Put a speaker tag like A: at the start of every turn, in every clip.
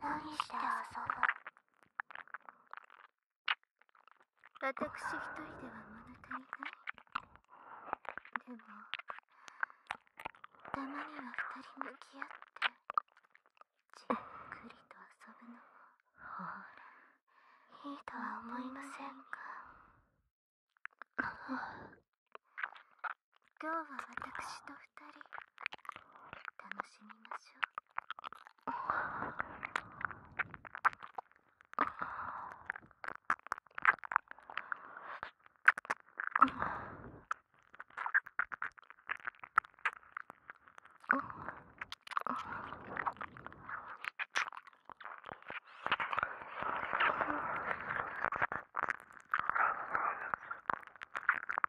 A: 何して遊ぶ私一人では物足りないでもたまには二人向き合ってじっくりと遊ぶのもほらいいとは思いませんか今日は私と二人楽しみましょう。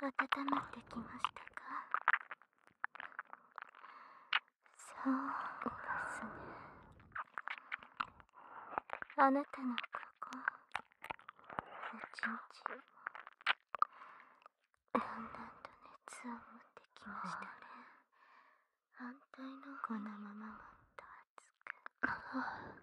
A: 温まってきましたかそうですねあなたのここおちんちんもだんだんと熱を持ってきましたね反対のこのままもっと熱く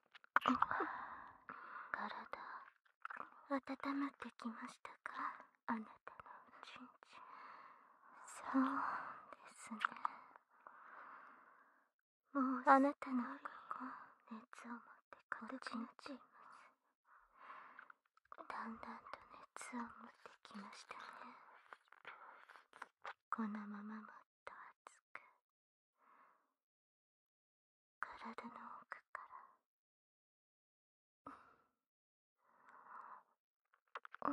A: 体、温まってきましたかあなたのちんちんそうですねもうあなたのここ熱を持ってこっちにちいだんだんと熱を持ってきましたね
B: このまま持っ熱く
C: 体の奥から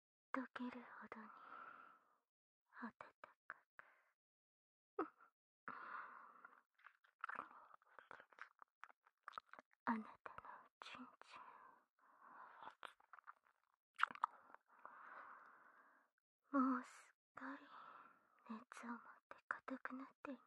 A: 溶けるほど
B: に温かくあなたのおちんちんもうすっかり熱を持って硬くなっています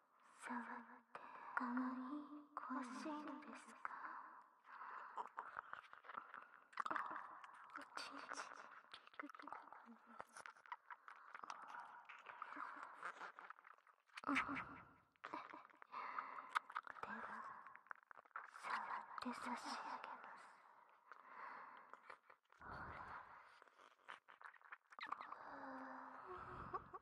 A: 触ってかわいいコンシールですかおちんちんでは、触って差し上げます。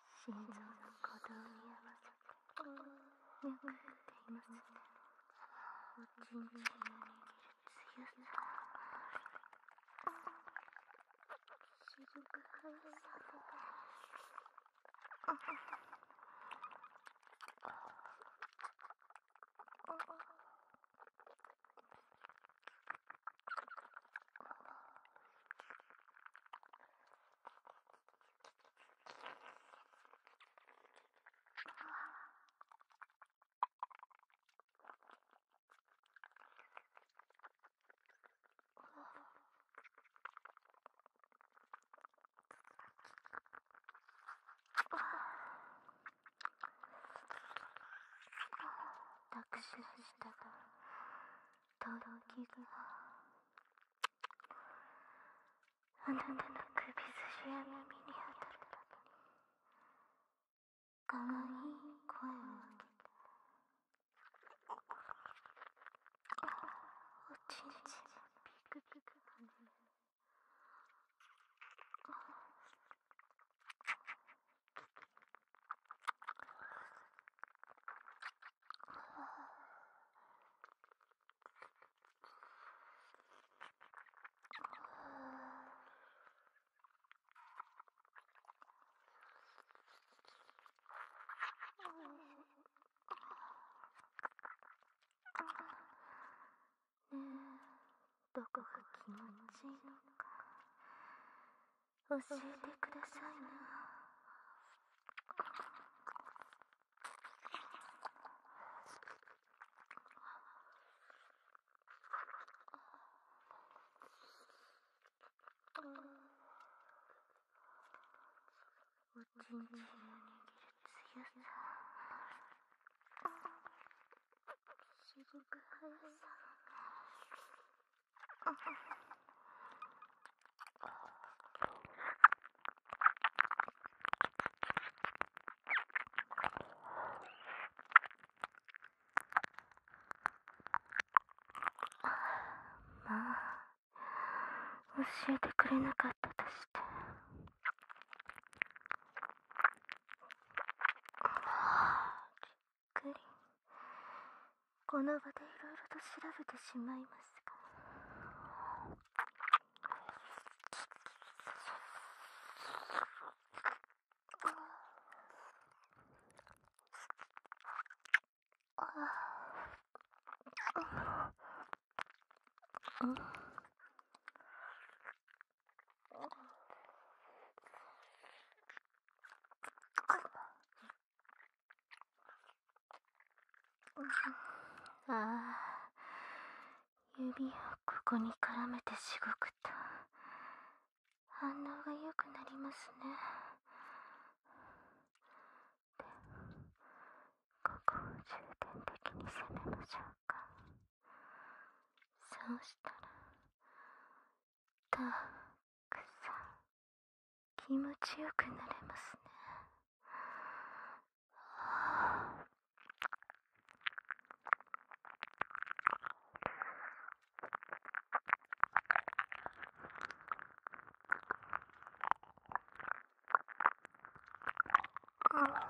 A: 心臓の鼓動に合わせてよく振っていますねおちんちんに握る強さしずく早い私の下がとろぎがあなたの首筋や耳に当たっるかわいい声を上げておちんちんピクピク跳ねねえどこが気持ちいいのか教えてくださいな
D: おちんちんを握る
A: 強さすごく速さ まあ教えてくれなかったとして。っ、くりこの場でいろいろと調べてしまいますがああ指をここに絡めてしごくと反応がよくなりますね
B: でも、ここを重点的に攻めましょうかそうしたらたっさん
A: 気持ちよくなれますねは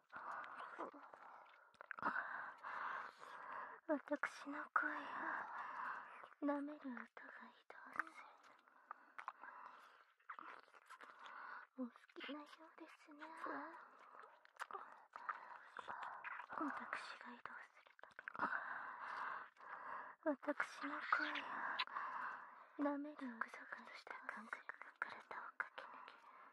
A: 私の声を舐める音が移動するお好きなようですね私が移動するたび私の声を舐める音がした感覚が体を駆け抜ける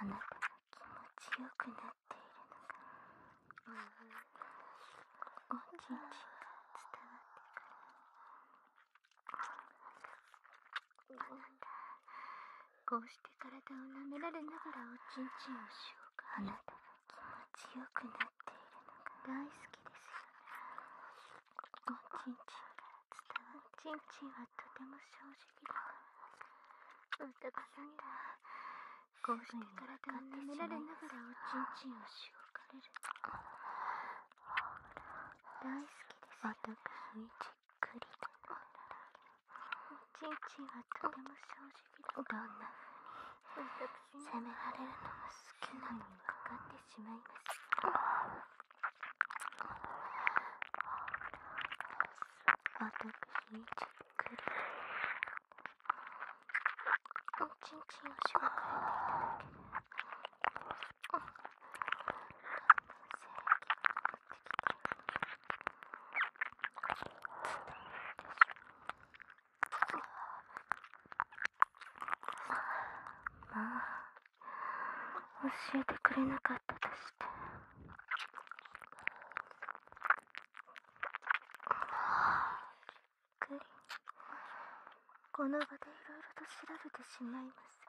B: あなたが気持ちよくなっているのが、
A: うん、おちんちんが伝わってくるあなたこうして体を舐められながらおちんちんをしようかあなたが気持ちよくなっているのが大好きですよねおちんちんか伝わるちんちんはとても正直だから疑なんだこうして体を舐められながらおちんちんをしようかれる大好きですよね私にじっくりと舐めらちんちんはとても正直だどなふ責められるのが好きなのにかかってしまいます私にじっくりおちんちんを紹介でいただける男性的まあ教えてくれなかったとしてゆっくりこの場でいろいろと調べてしまいますが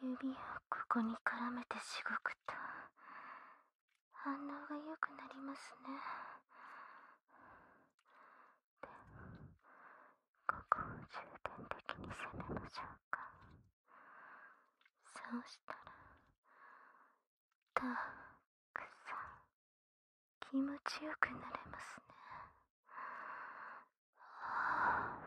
A: 指をここに絡めてしごくと反応がよくなりますねで
B: も、ここを重点的に攻めましょうかそうしたらた
A: くさん気持ちよくなれますねは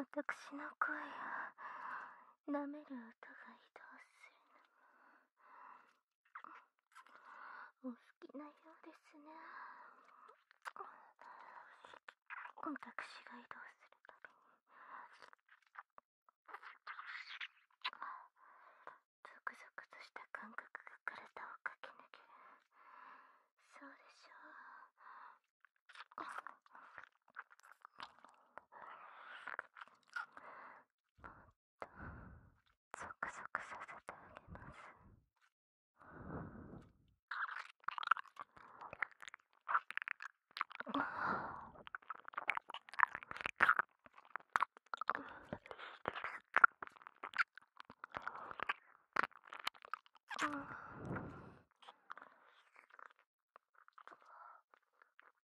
A: 私の声を舐める音が移動するお好きなようですね私が移動するたびにゾクゾクとした感覚が体を駆け抜けるそうでしょうもうゾクゾクさせてあげます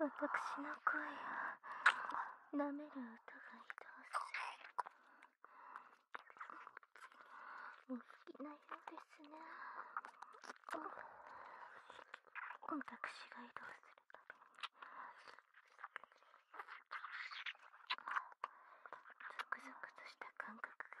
A: 私の声を舐める音がひどする。お好きなようですね私が移動するたびにゾクゾクとした感覚が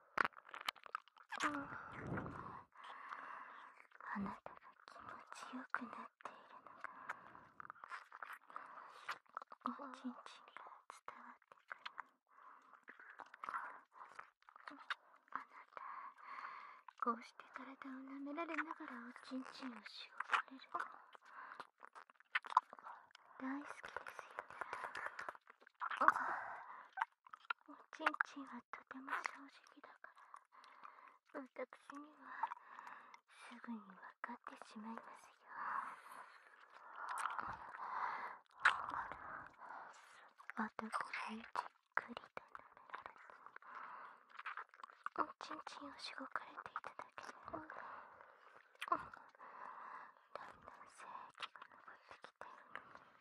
A: どうあなたが気持ちよくなっているのがおちんちんが伝わってくるあなたこうして体を舐められながらおちんちんをしごかれる大好きですよねおちんちんはとても正直だからわたくしにはすぐにわかってしまいますよわたこれじっくりと舐められおちんちんをしごかれていただけで、うだんだん精液が上ってきて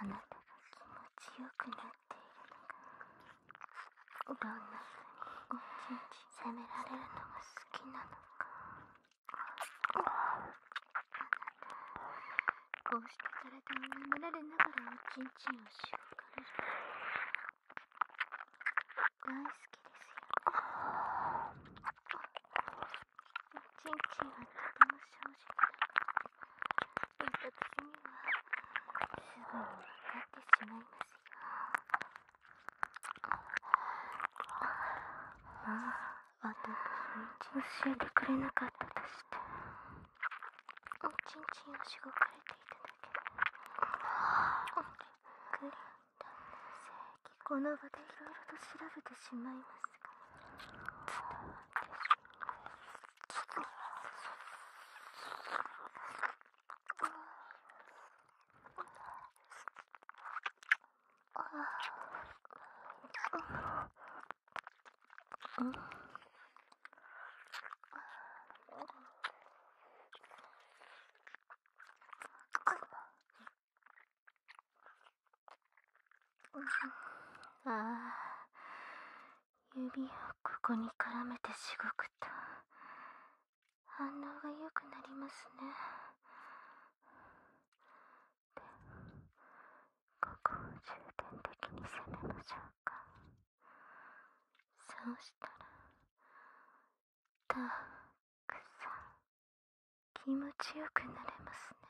A: あなたが気持ちよくなっているのがどんなふうに責められるのが好きなのかあなたこうして体を舐められながらおちんちんをしごかれる大好きですよおちんちんはとても正直だから私にはすぐに分かってしまいますよああ私に教えてくれなかったとしておちんちんをしごかれていただけるグリーン男性この場でいろいろと調べてしまいますが伝わってしまいますああああ指をここに絡めてしごくと反応がよくなりますね
B: ここを重点的に攻めましょうかそうしたらたくさ
A: ん気持ちよくなれますね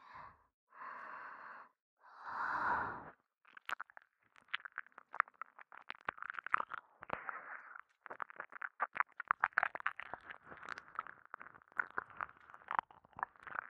A: は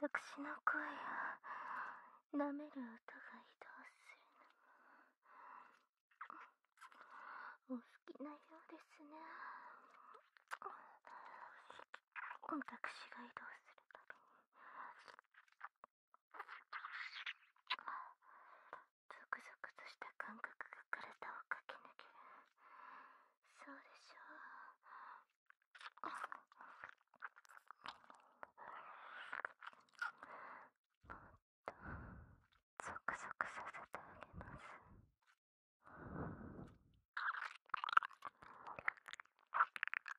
A: 私の声を舐める音が移動するのお好きなようですね私が移動するたにゾクゾ
B: クとした感覚が体を駆け抜けるそうでしょうもっとゾクゾクさせてあげますっ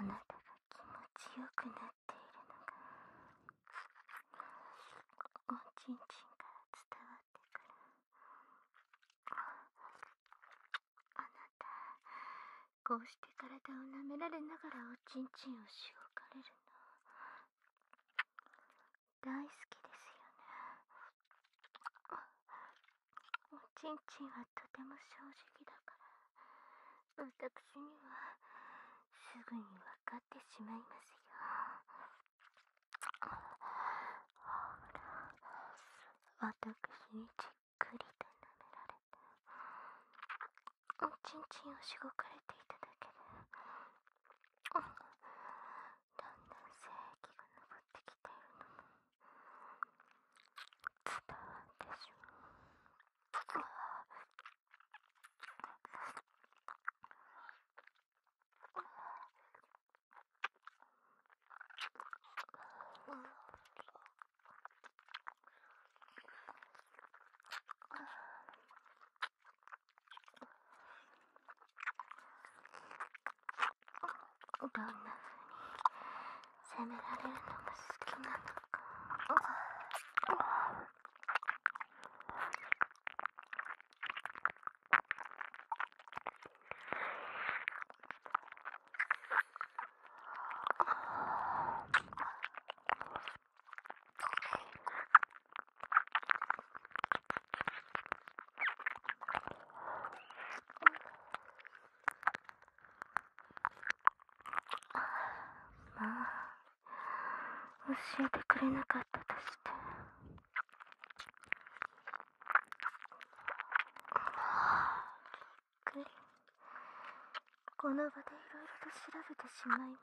A: あなたが気持ちよくなっているのがおちんちんから伝わって…あなたこうして体を舐められながらおちんちんをしごかれるの大好きですよねおちんちんはとても正直だから私にはすぐにわかってしまいますよほら私にじっくりと舐められておちんちんをしごかれていただけでだんだん精液が上ってきているのも伝わってしまう。
B: どんな風に責められるのが好きなのか。
A: まあ教えてくれなかったとしてうっかりこの場でいろいろと調べてしまいます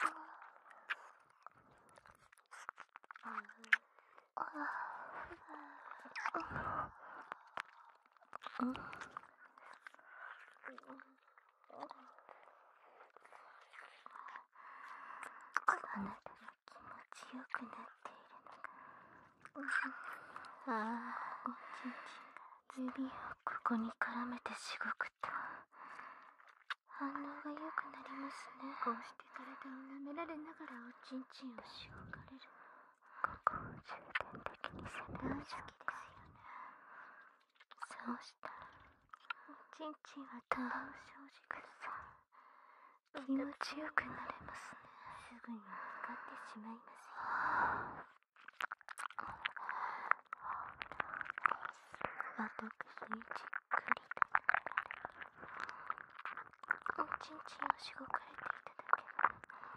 A: がああああん、あなたが気持ちよくなっているのがああおちんちん指をここに絡めてしごくと反応がよくなりますねこうして体を舐められながらおちんちんをしごかれるこを重点的に攻め合うきですよねそうしたらちんちんは倒してほしくさ気持ちよくなれますねすぐに分かってしまいますよ私にじっくりとおちんちんをしごかれていただけ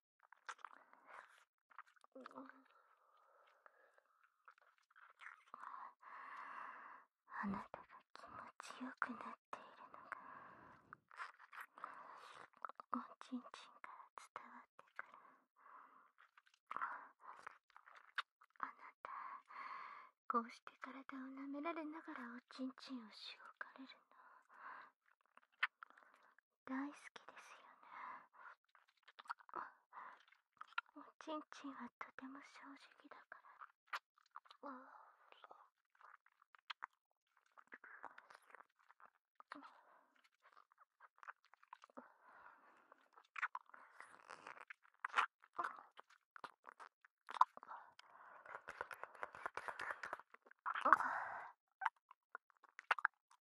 D: うん
A: あなたが気持ちよくなっているのがおちんちんから伝わってくるあなたこうして体を舐められながらおちんちんをしごかれるの大好きですよねおちんちんはとても正直だから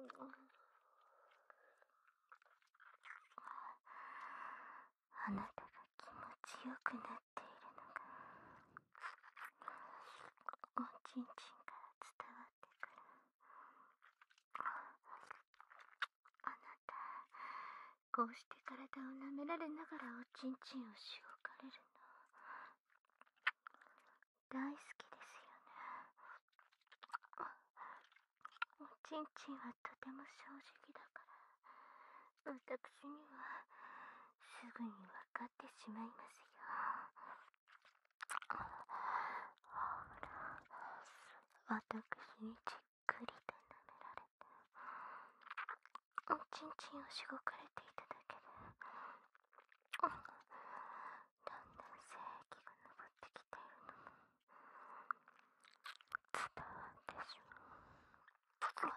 A: うんあなたが気持ちよくなっているのがおちんちんから伝わってくるあなたこうして体を舐められながらおちんちんをしごかれるの大好きですよねおちんちんはとても正直だから私にはすぐに分かってしまいますよほら私にじっくりと舐められておちんちんをしごかれていただけでだんだん精液が上ってきているのも伝わってしまう。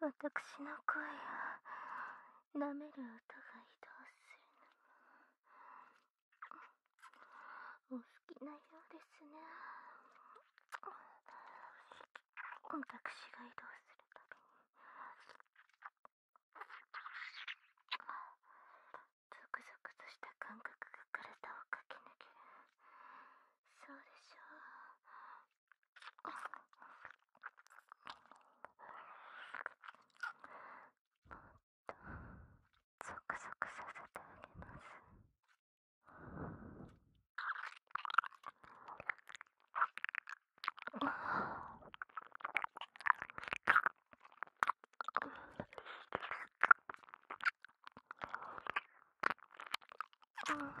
A: わたくしの声を舐める音が移動するのもお好きなようですねわたくしが移動するたびに
B: ゾクゾクとした感
A: 覚が体を駆け抜けるそうでしょうゾクゾクさせてあげます。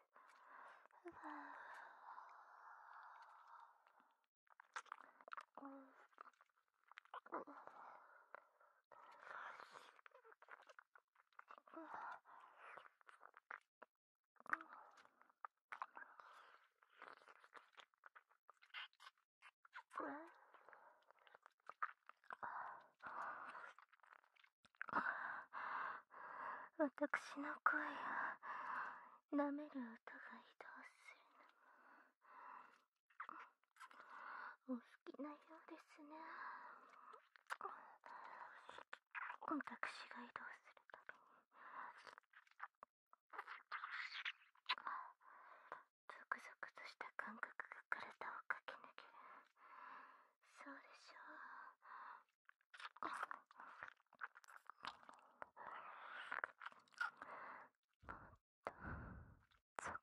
A: 私の声舐める音が移動するのもお好きなようですね私が移動するたびにゾクゾクとした感覚が体を駆け抜けるそうでしょうゾ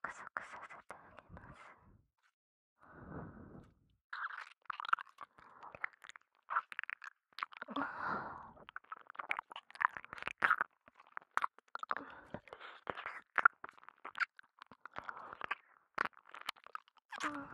B: クゾクさせてあげます。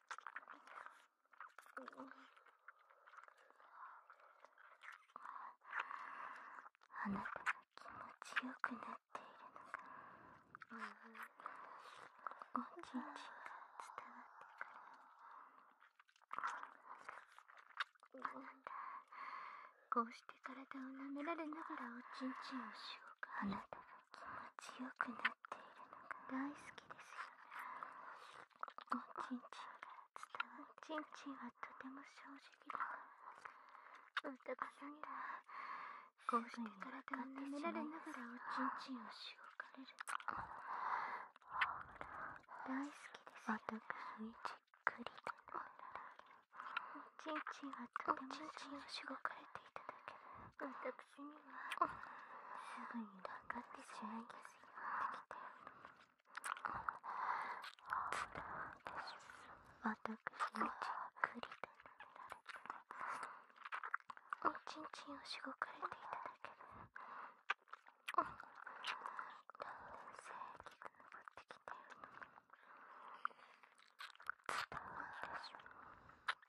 A: あなたが気持ちよくなっているのさ…おちんちんが伝わってくる、あなたこうして体を舐められながらおちんちんをしようかあなたが気持ちよくなっているのが大好きですおちんちんか伝わるちんちんはとても正直だ男さんだこうして体を舐められながらおちんちんをしごかれる大好きですよね私にじっくりとおちんちんはとても正直をしごかとていただける私私はすぐに分かってしまいてきて…。
B: 私もちっくりとられて…
A: おちんちんをしごかれていただけどだんだん精が上ってきてるつたわんでしょ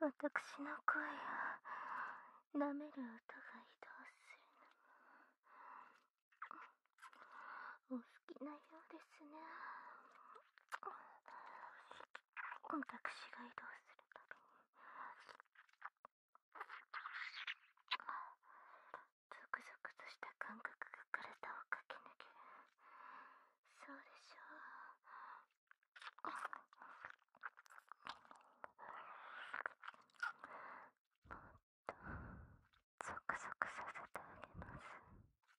A: わたくしの声を舐める音が移動するのもお好きなようですね私が移動するたびにゾクゾクとした感覚が体を駆け抜けるそうでしょうもっとゾクゾクさせてあげます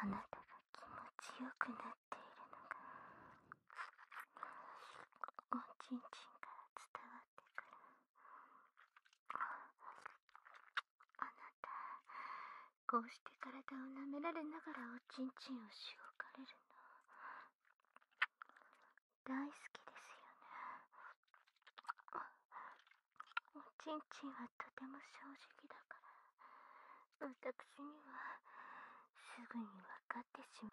A: あなたが気持ちよくなっているのがおちんちんから伝わってくるあなたこうして体を舐められながらおちんちんをしおかれるの大好きですよねおちんちんはとても正直だから私にはすぐにわかってしまう。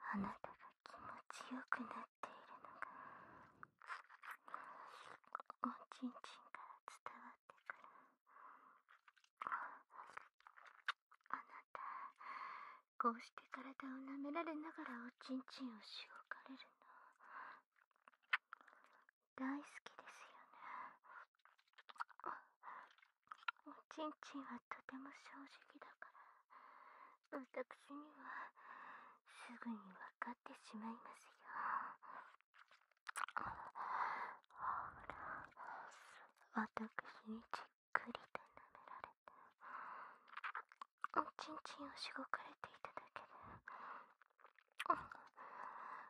B: あなたが気持ちよくなっているのがお
A: ちんちんから伝わってくるあなたこうして体を舐められながらおちんちんをしごかれるの大好きですよね。おちんちんはとても正直だから、私にはすぐにわかってしまいますよ。ほら、私にじっくりと舐められて、おちんちんをしごかれていただける…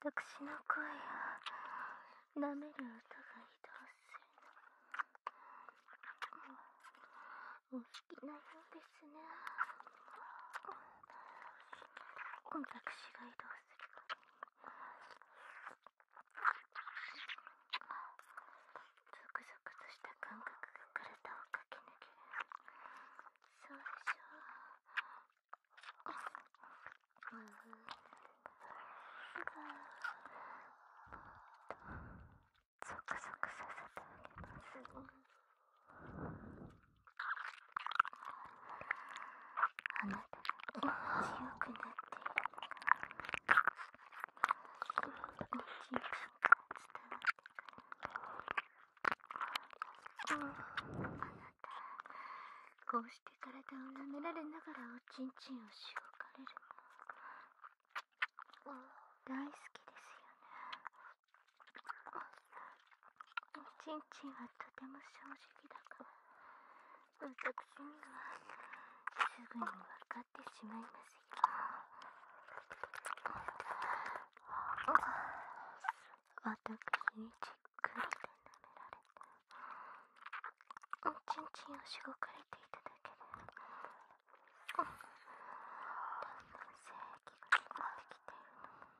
A: 私の声を舐める音が移動するのお好きなようですですね私が移動するとゾクゾクとした感
D: 覚が体を駆け抜けるそうでしょう、うん、ゾクゾクさせて
A: あげます、ね…あなたが強くなっているのが強く伝わってくるあなたこうして体を舐められながらおちんちんをしごかれるの大好きですよねおちんちんはとても正直だから、私にはすぐにわかってしまいますよ。私にじっくりと舐められて、おちんちんをしごかれていただける。だんだん性液が溜まってきているの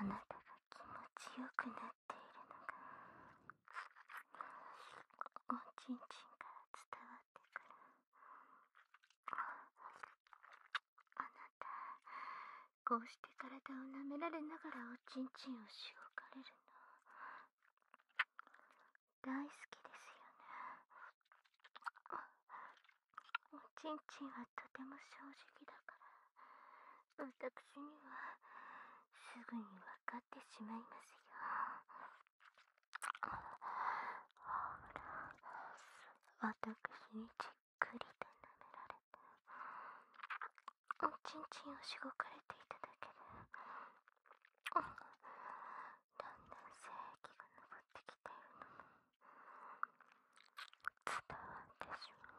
A: あなたが気持ちよくなっているのがおちんちんから伝わってくるあなたこうして体を舐められながらおちんちんをしごかれるの大好きですよねおちんちんはとても正直だから私にはすぐに分かってしまいますよほら私にじっくりと舐められてちんちんをしごかれていただけでだんだん精液が上ってきているの伝わってしまう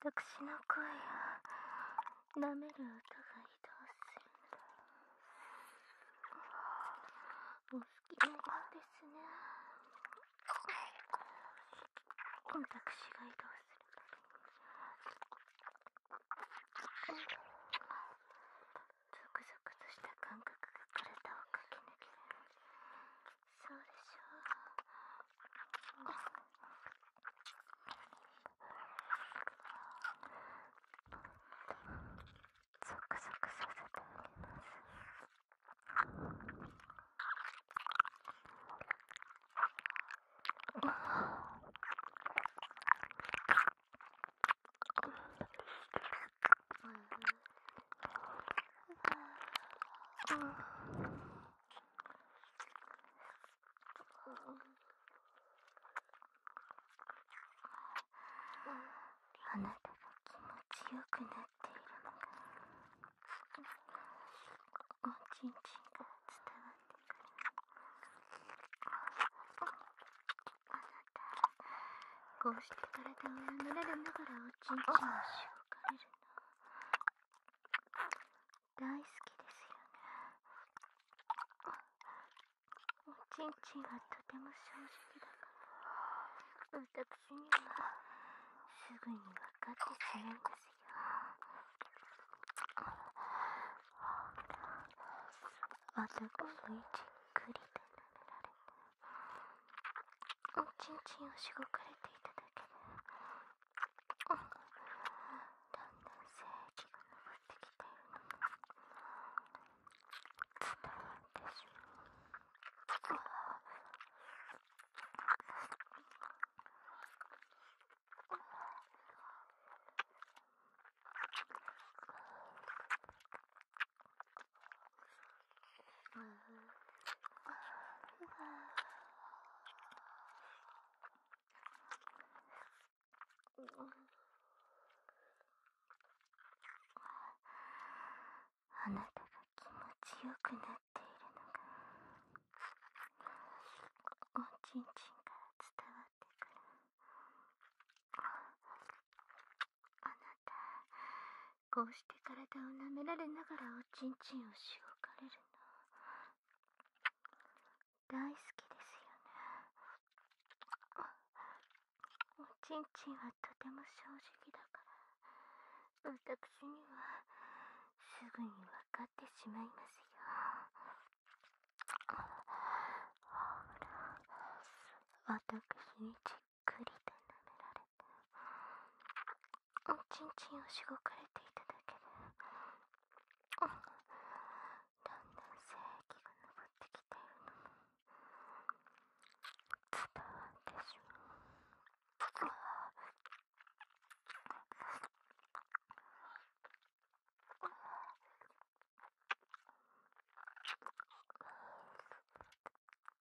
A: 私の声を舐める音が移動するお好きなよですね私が移動するクゾクとした感覚が体を駆け抜けるそうでしょ
D: う、うん、ゾクゾクさせております
A: あなたが気持ちよくなっているのがおちんちんが伝わってくるこうして体を舐められながらおちんちんをしょかれるの大好きですよねおちんちんがとても正直だから私にはすぐにわかってしまうんすよあそこのじっくりと舐められておちんちんをしごかれていただけでだんだん精液が上ってきているのが伝わっ
D: てしまう。
A: あなたが気持ちよくなっているのがおちんちんから伝わってくるあなたこうして体を舐められながらおちんちんをしおかれるの大好きですよねおちんちんはとても正直だから私にはすぐにわかってしまいますよほら私にちじっくりと舐められてちんちんをしごかれていただけでだんだん精液が上ってきているのも伝わってしまう。っ、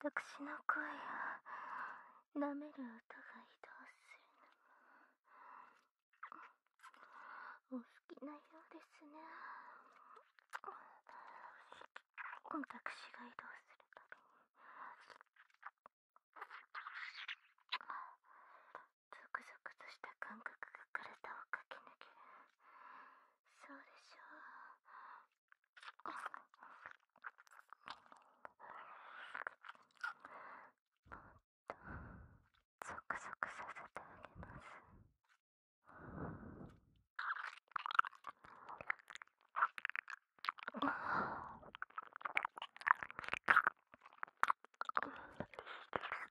A: 私の声を舐める音が移動するのもお好きなようですね私が移動するたびにゾクゾクとした感覚が体を駆け抜けそうでしょうもっとゾクゾクさせてあげます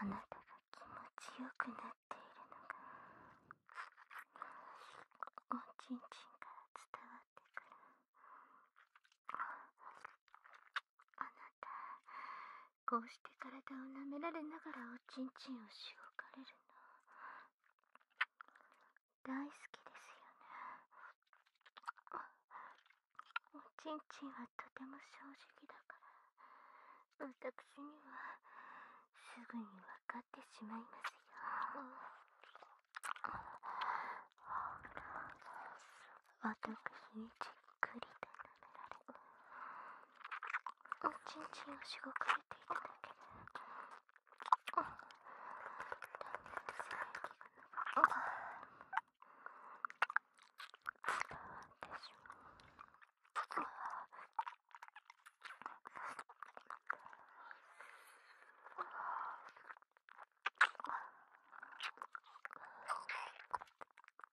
A: あなたが気持ちよくなっているのがおちんちんから伝わってくるあなたこうして体を舐められながらおちんちんをしごかれるの大好きですよねおちんちんはとても正直だから私にはすぐにわかってしまいますよ私にじっくりと舐められおちんちんをしごかれていただけであっだんだんが伝わってしまうんんん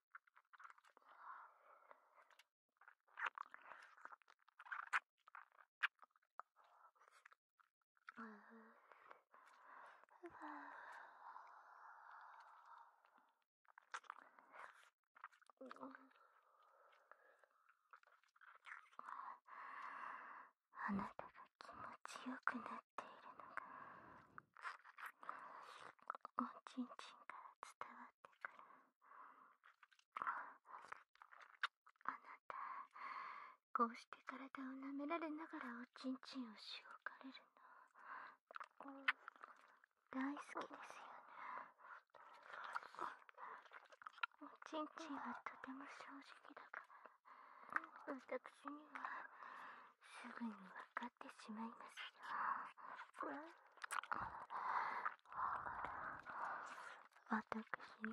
A: あなたが気持ちよくなおちんちんから伝わってくるあなたこうして体を舐められながらおちんちんをしおかれるの大好きですよね…おちんちんはとても正直だから私にはすぐにはかってしまいますよ。私に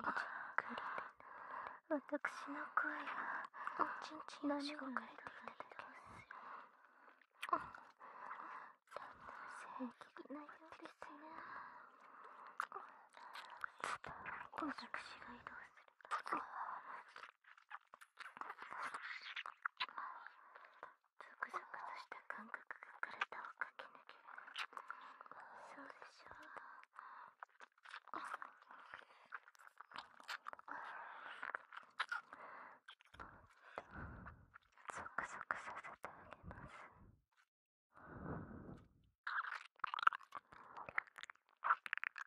A: じっくり私の声はちんちんをしごかれていたすよ。そんな正義なようですね。私が移動するゾクゾクとした感覚が体を駆け抜けるそうでしょうゾクゾク
E: させてあげます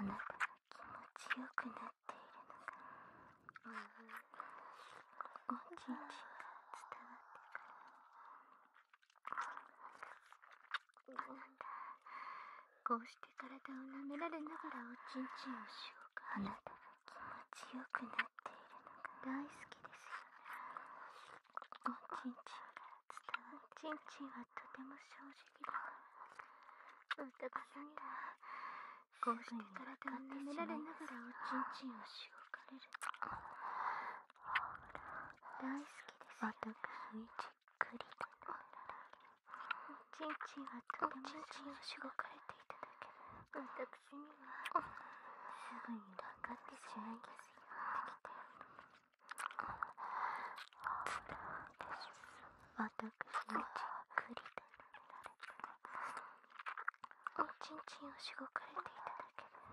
A: あなたが気持ちよくなっているの
B: が
A: おちんちんが伝わってくる。こうして体を舐められながらおちんちんをしようかあなたが気持ちよくなっているのが大好きですよねおちんちんから伝わるおちんちんはとても正直だから男さんがこうして体を舐められながらおちんちんをしようかれる大好きです私じっくりとおちんちんはとてもおちんちんをしごかれていただける私にはすぐに分かってしまいますよ私はじっくりとおちんちんをしごかれていただける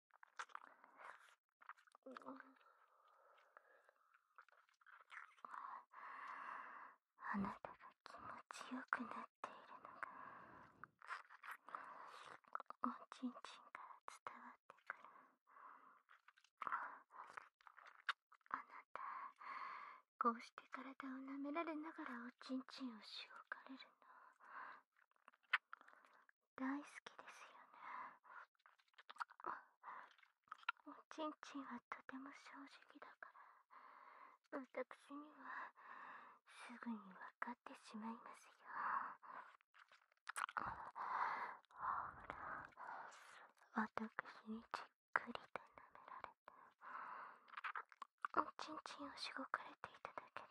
A: あなたが気持ちよくなっているのがおちんちんから伝わってくるあなたこうして体を舐められながらおちんちんをしおかれるの大好きですよねおちんちんはとても正直だから私にはすぐに分かってしまいますよほら私にじっくりと舐められておちんちんをしごかれていただけで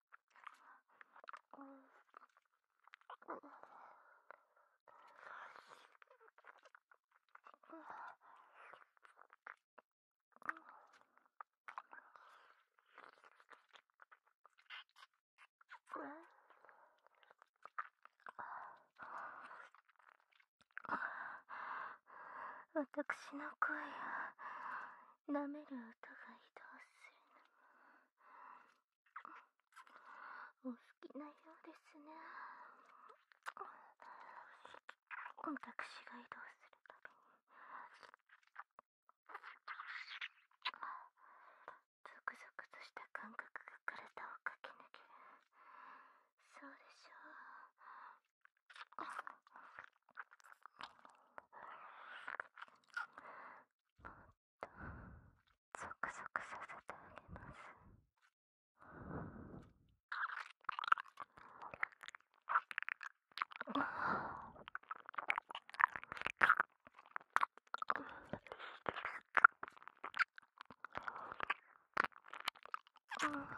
A: 私の声を舐める音が移動するのお好きなようですね私が移動するたびにゾクゾクとした感覚が体を駆け抜けるそうでしょうゾクゾクさせてあげます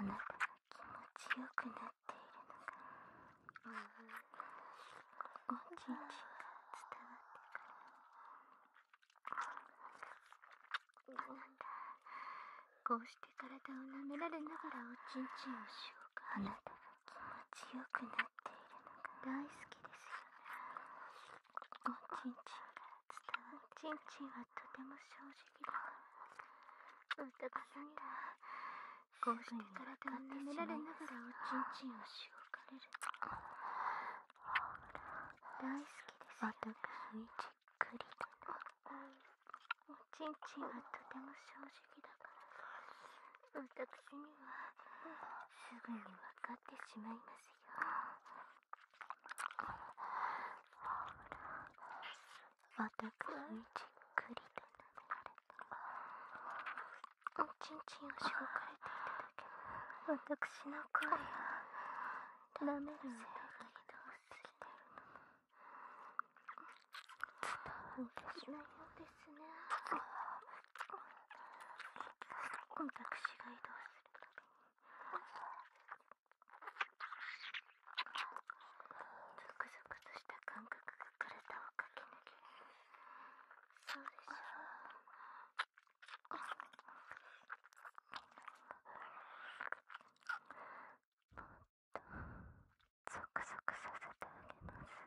A: あなたが気持ちよくなっているのが、うおちんちんが伝わってくるあ
C: なた
A: こうして体を舐められながらおちんちんをしようかあなたが気持ちよくなっているのが大好きですよチンチンか伝わるチンチンはとても正直だ私がこうしてごを舐かられながらおちんちんをしごかれる大好きです私にじっくりとおちんちんはとても正直だから私にはすぐにわかってしまいますまたくにじっくりと流れたおちんちんを紹介していただけ私の声が舐めるよう移動しるのも伝わっようですね私が移動するたびにゾクゾクとした感覚が体を駆け抜けそうでしょうもっとゾクゾクさせてあげます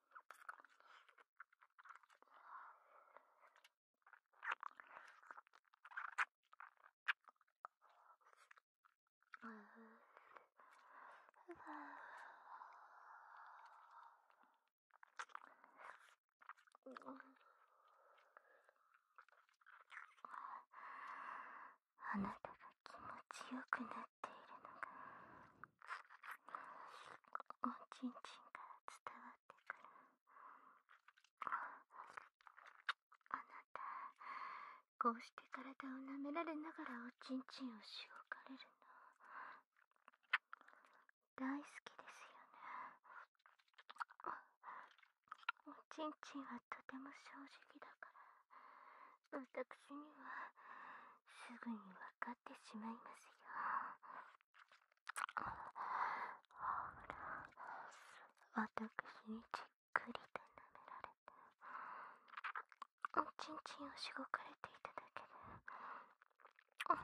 B: あなたが気持ちよくなっっているのがおちんちんから伝わってくる
A: あなたこうして体を舐められながらおちんちんをしおかれるの大好きですよねおちんちんはとても正直だから私にはすぐにわかる…わってしまいますよ。ほら、私にじっくりと舐められて、おちんちんをしごかれていただけで、だんだん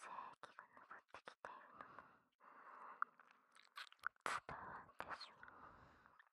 A: 性器が上ってきているのも、伝わってしまう。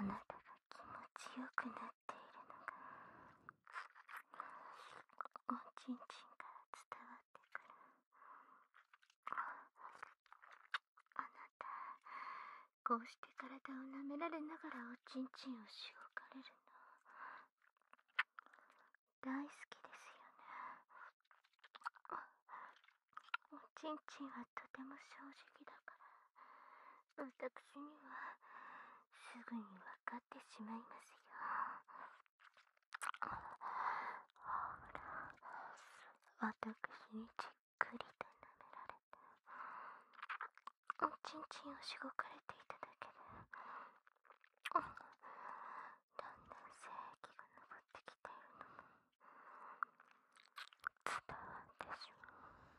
A: あなたが気持ちよくなっているのがおちんちんから伝わってくるあなたこうして体を舐められながらおちんちんをしごかれるの大好きですよねおちんちんはとても正直だから私にはすぐにわかってしまいますよほら私に力くりと舐められておちんちんをしごかれていただけでだんだん精液が上ってきているのも伝わってしまう。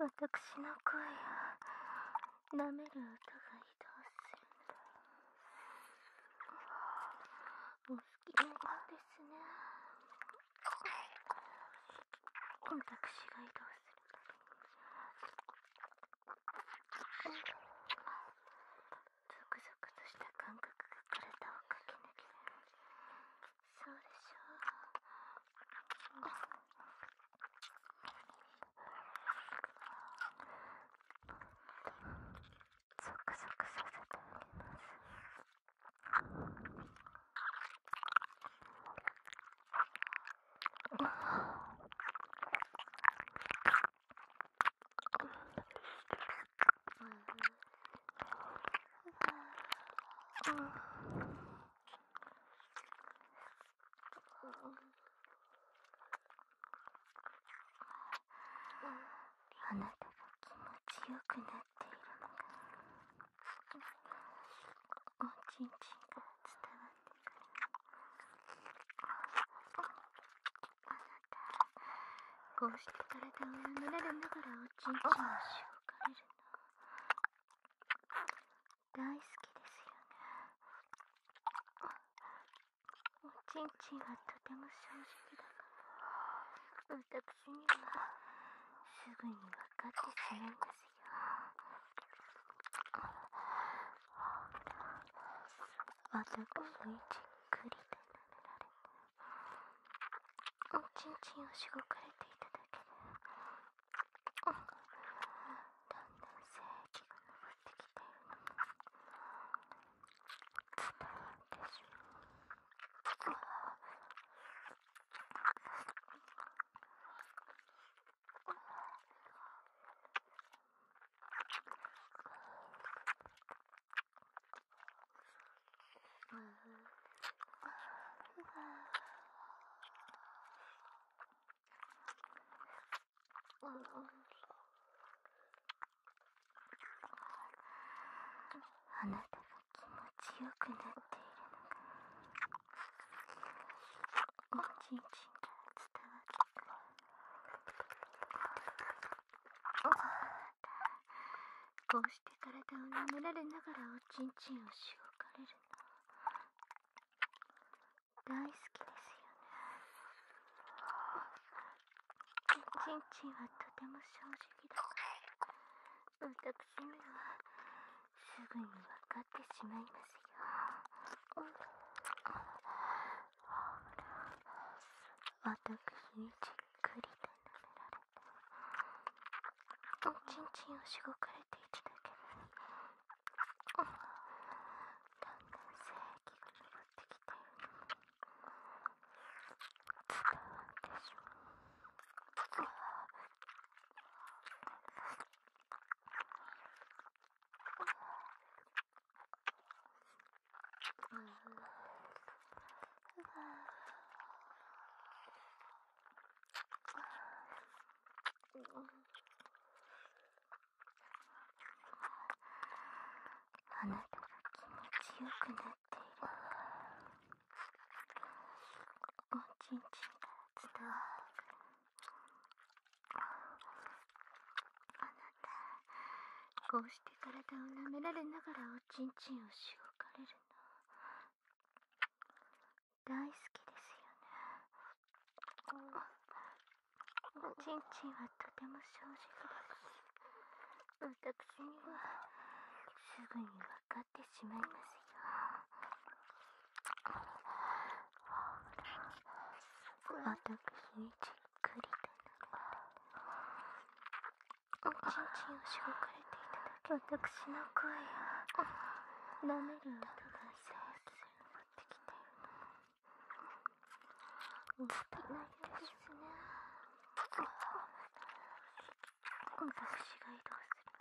A: 私の声を舐める歌が移動するお好きなようですね私が移動するたびにゾ
D: クゾクとした感覚が体を駆け抜けるそうでしょう。ゾクゾクさせておます。
A: あなたが気持ちよくなっているのがおちんちんか伝わってくるあなたこうして体を舐められながらおちんちんをしょうかれる大好きですよねおちんちんはとても正直だから私にはすぐに分かってくれますよ私の位置っくりとなめられておちんちんをしごかれていただけでだんだん精液が上ってきているのも伝わってしまう。あなたが気持ちよくなっているのがおちんちんとら伝わってくる。こうして体を舐められながらおちんちんをしごかれるの大好きですよねちんちんはとても正直だたくしにはすぐにわかってしまいますよ、わたくしにじっくりと舐められとちんちんをしごかれていただけるだんだん性液が上がってきて伝わってし
D: まううん、うわあなたが気持ちよくなっている
A: おちんちんから伝わるあなたこうして体を舐められながらおちんちんをしごかれるの大好きですよねおちんちんはとても正直です私にはすぐに分かってしまいますよ私にじっくりとおちんちんをしごかれていただき私の声やなめる音が正気が登ってきているのもったいないですね私が移動するゾクゾクした感覚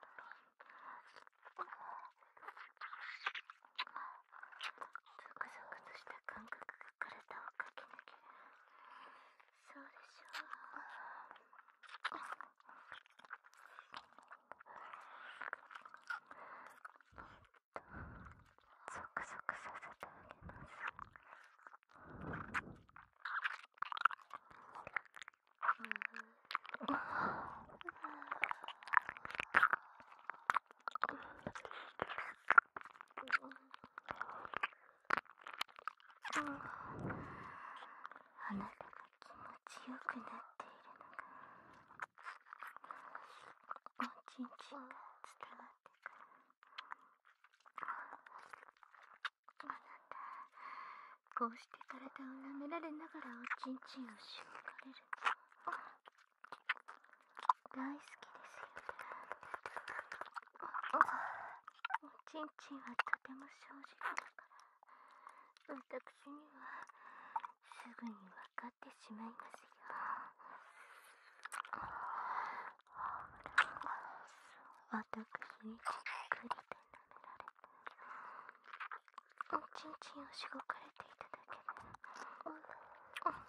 A: から体を駆け抜けるそうでしょう。ゾ
C: クゾクさせてあげます。うん
A: あなたが気持ちよくなっているのがおちんちんが伝わってくるあなたこうして体を舐められながらおちんちんをしょかれる大好きですよおちんちんはとても正直だからわたくしにはすぐにわかってしまいますよわたくしにじっくりと舐められおちんちんをしごかれていただけでだんだん精液がまっ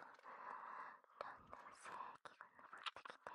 A: てきているの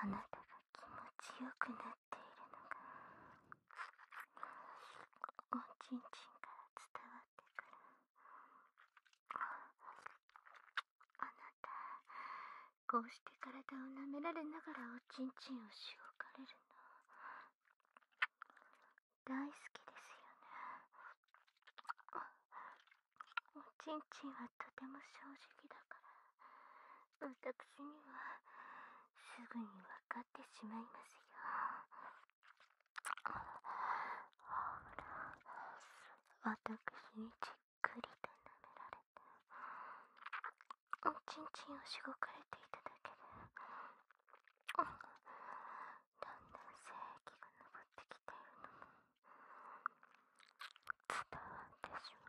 A: あなたが気持ちよくなっているのがおちんちんから伝わってくるあなたこうして体を舐められながらおちんちんをしおかれるの大好きですよねおちんちんはとても正直だから私にはすぐに分かってしまいますよほら私にじっくりと舐められておちんちんをしごかれていただけで、だんだん精液が上ってきているのも伝わってしまう。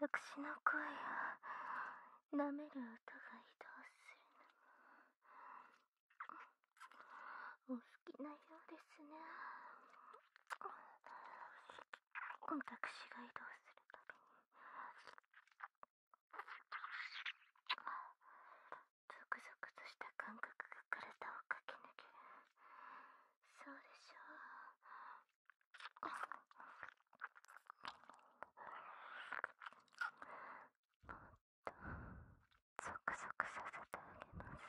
A: 私の声を舐める音が移動するお好きなようですね私が移動するたびにゾクゾクとした感覚が体を駆け抜けるそうでしょうおっとゾクゾクさせてあげます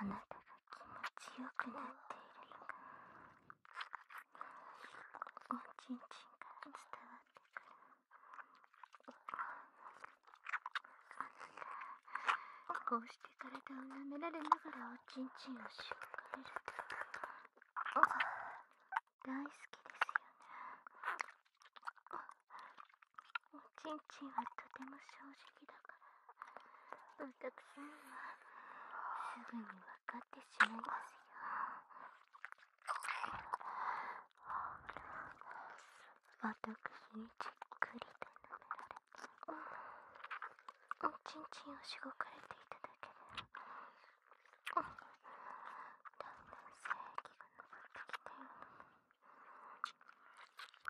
A: あなたが気持ちよくなっているのがおちんちんから伝わってくるあなたこうして体を舐められながらおちんちんをしょかれると大好きですよねちんちんはとても正直だからお客さんはすぐに分かってしまいますよ私にじっくりと舐められおちんちんをしごかれていただけでだんだん正義がのぼってきたような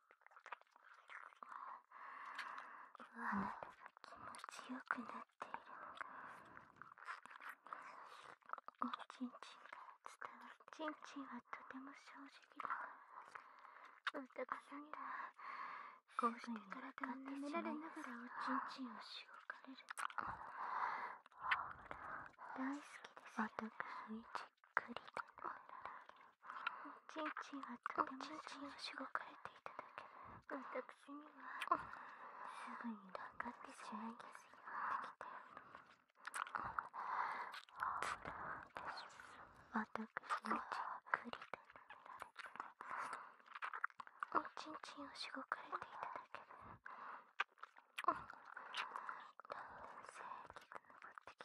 A: あなたが気持ちよくなっているのがおちんちんか伝わるちんちんはとても正直だ私にはこうして体を舐められながらおちんちんをしごかれる大好きです私一くりとなおちんちんがとてもしごかれていただけ私にはすぐに分かってしまいますよ
B: 私はくりと
A: おちんちんをしごかれていただけんだん性器が上って